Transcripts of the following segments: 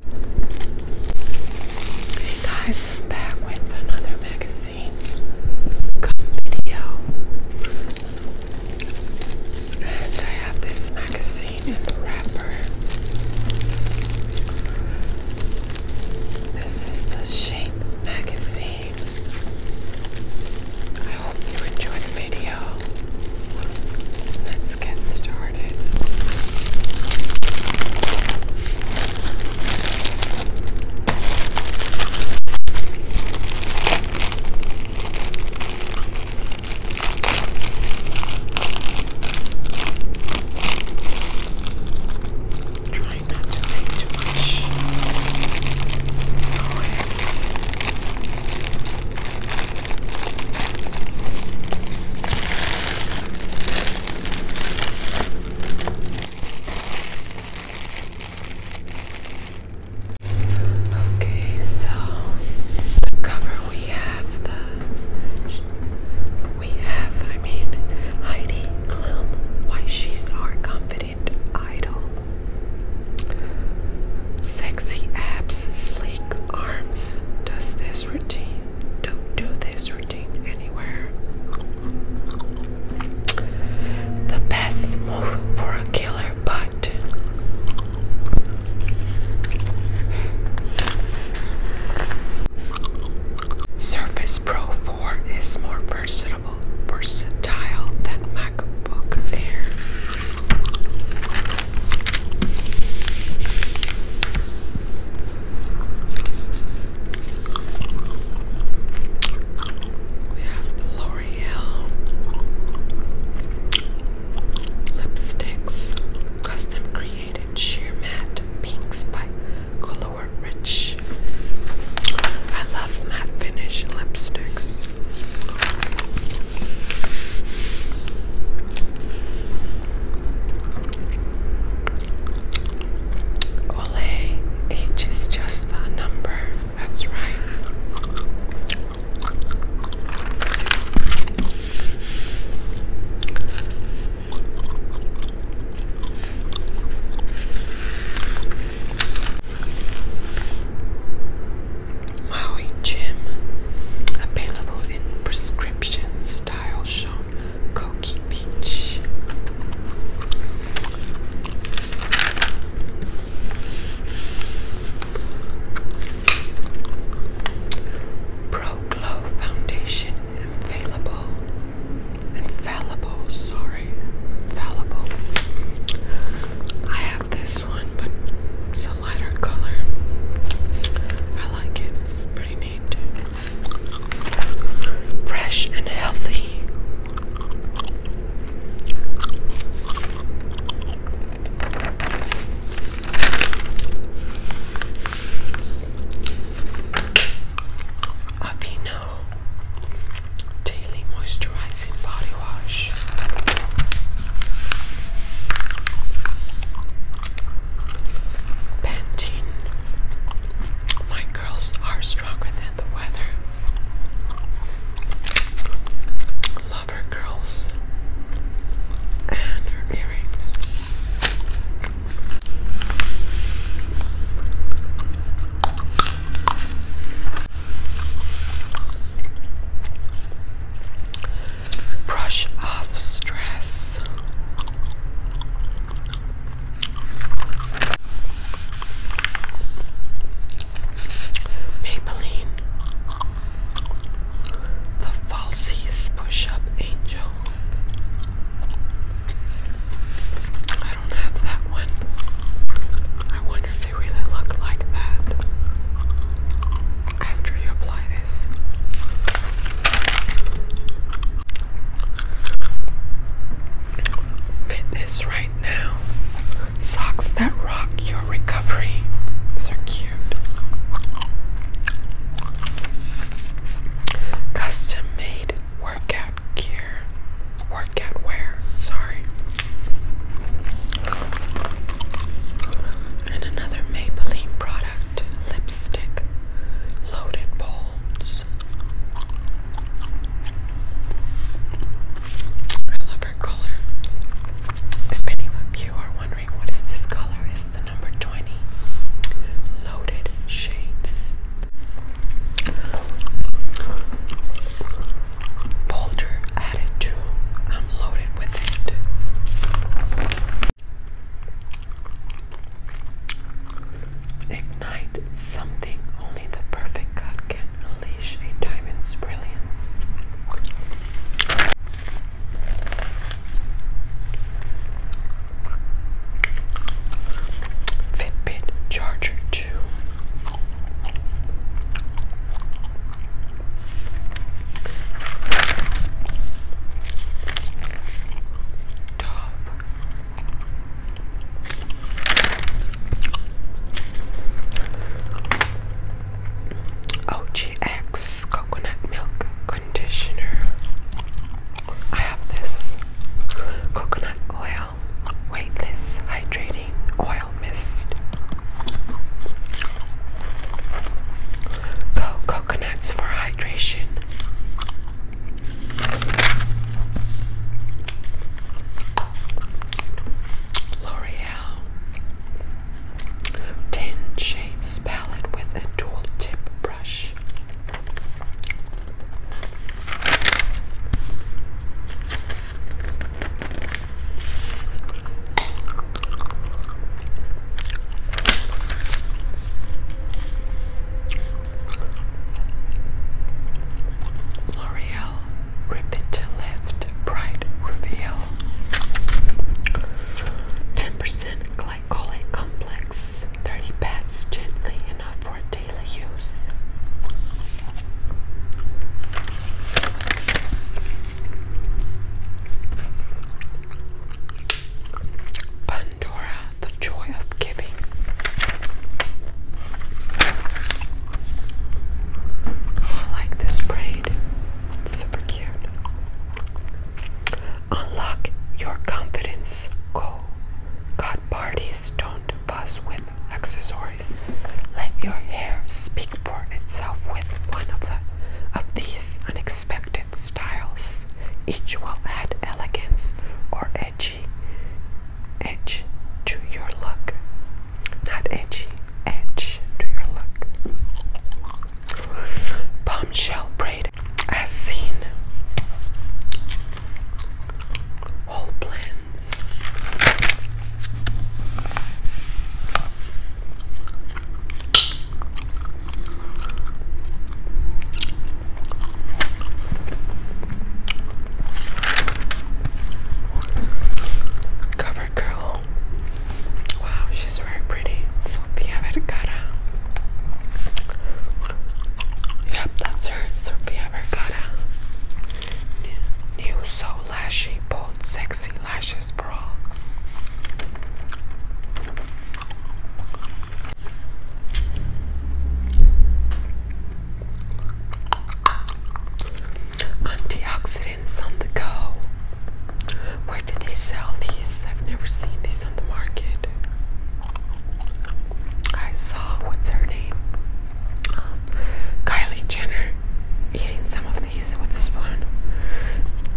Hey guys, I'm back with another magazine video. And I have this magazine in the wrapper. This is the Shape magazine. I hope you enjoy the video. Let's get started. Try not to make too much noise. Okay, so cover we have the we have I mean Heidi Klum, why she's our confident idol. Sexy abs, sleek arms. Does this routine don't do this routine anywhere. The best move for a killer butt. Surface Pro 4 is more versatile, versatile than MacBook Air. We have L'Oreal lipsticks, custom created sheer matte pinks by Color Rich. I love matte finish lipsticks. Ole, H is just the number. That's right. Maui Gym available in prescriptions Style Show Koki Beach. Pro Glow Foundation Infallible. Infallible, sorry. Infallible. I have this one, but lighter color. I like it. It's pretty neat. Fresh and healthy. Avino Daily Moisturizing Body Wash. Pantene. My girls are stronger than the weather. Love her girls and her earrings brush off stress. Maybelline, the Falsies Push Up Angel. I don't have that one. I wonder if they really look like that after you apply this. Fitness right now. Socks that rock your recovery. These are cute. Custom made workout gear. Workout wear, sorry. And another Maybelline product lipstick, loaded bolts. I love her color. If any of you are wondering what is this color, it's the number 20. Loaded shades. Boulder added to. I'm loaded with it. Ignite something only the perfect God can unleash a diamond's brilliance. Fitbit Charger 2 OGX coconut milk conditioner. I have this coconut oil weightless hydrating oil mist. Go coconuts for hydration. L'Oreal Ten Shades Palette with a dual tip brush. L'Oreal Ribbon Bright Reveal 10% Glycolic Complex 30 pats gently enough for daily use. Pandora, the joy of giving. I like this braid, super cute. Unlock your confidence goal. God parties don't fuss with accessories. Let your hair speak for itself with one of the of these unexpected styles. Each will add elegance or edgy edge to your look. Not edgy, edge to your look. Bombshell braid as seen. Whole blends. Cover Wow, she's very pretty. Sofia Vergara. Yep, that's her. Sofia Vergara. New so lashy, bold, sexy lashes for Antioxidants on the go. Where do they sell these? I've never seen these on the market. I saw what's her name? Um, Kylie Jenner eating some of these these with a spoon.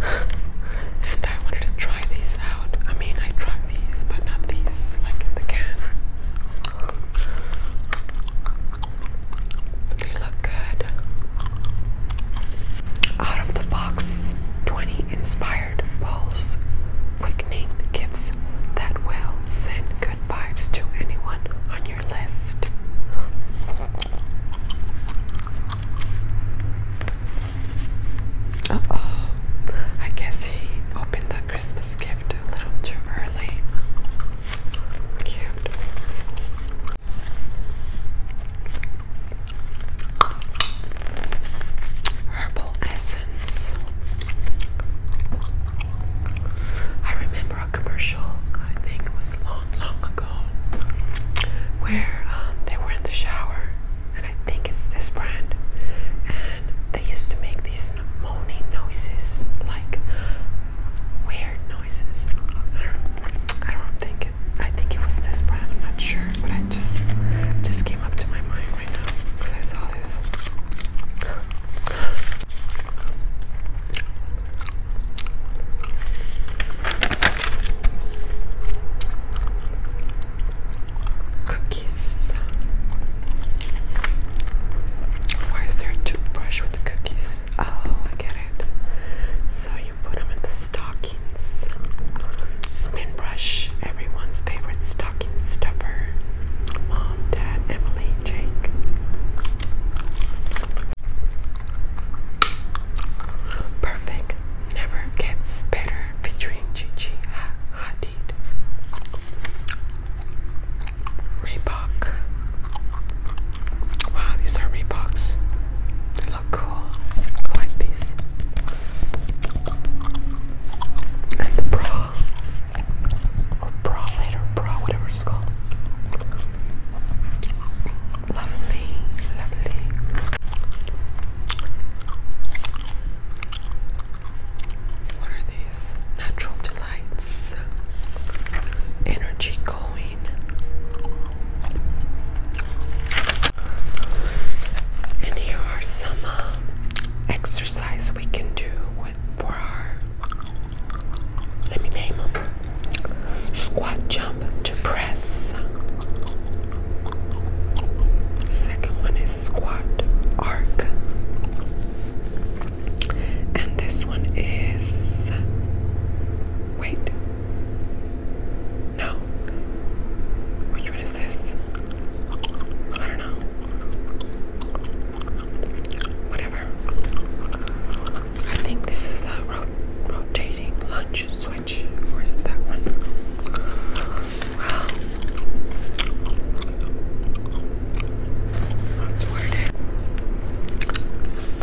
and I wanted to try these out. I mean, I tried these, but not these, like in the can. They look good. Out of the box, 20 inspired pulse quickening gifts that will send good vibes to anyone on your list. Uh oh. I guess he opened the Christmas gift a little too early. Cute. Herbal essence. I remember a commercial, I think was long, long ago, where um, they were in the shower, and I think it's this brand, and they used to make these moaning noises, like weird noises. I don't, think it. I think it was this brand. I'm not sure, but I just, just came up to my mind right now because I saw this. Cookies. Why is there a toothbrush with the cookies? Oh, I get it. So you put them in the stockings. Spin brush, everyone's favorite stocking stuffer. Mom, Dad, Emily, Jake. Perfect Never Gets Better featuring Gigi Hadid. Reebok. Wow, these are Reeboks. They look cool. I like these. And the bra. Or bra later, bra, whatever it's called. Lovely, lovely. What are these? Natural delights. Energy going. And here are some uh, exercise we can do with for our. Let me name them. Squat jump to press. Second one is squat arc. And this one is. Wait. No. Which one is this? I don't know. Whatever. I think this is the rotating lunch switch, or is it that one? Well, that's worded.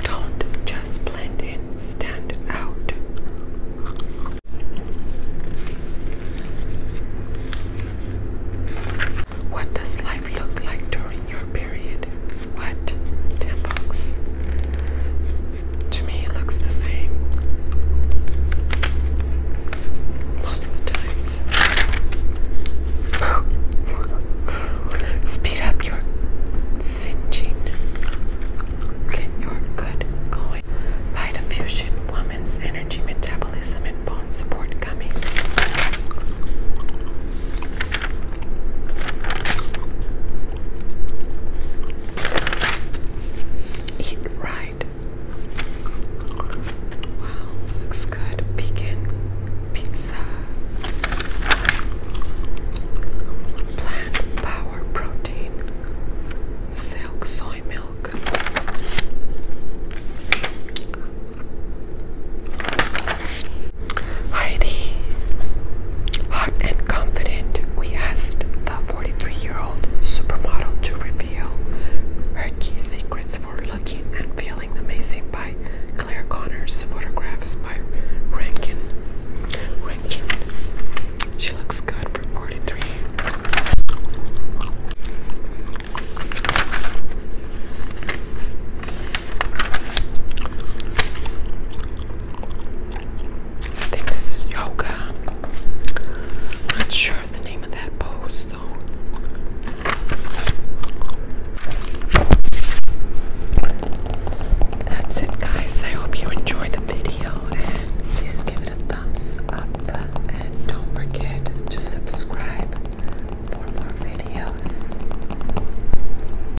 Don't just blend in, stand out. What does life look like during your period? What? Ten bucks? To me, it looks the same. Most of the times. Speed up your singeing. Get your good going. Light infusion, woman's energy, metabolism, and bone support gummies. Eat right. Wow, looks good. Vegan pizza. Plant power protein. Silk soy milk. Heidi, hot and confident, we asked the 43 year old supermodel to reveal her key secrets for looking and feeling amazing by Claire Connors, photographs by Rankin. Rankin. She looks good for 43. I think this is yoga. Not sure the name of that pose though. That's it, guys. I hope you enjoyed the video and please give it a thumbs up. And don't forget to subscribe for more videos.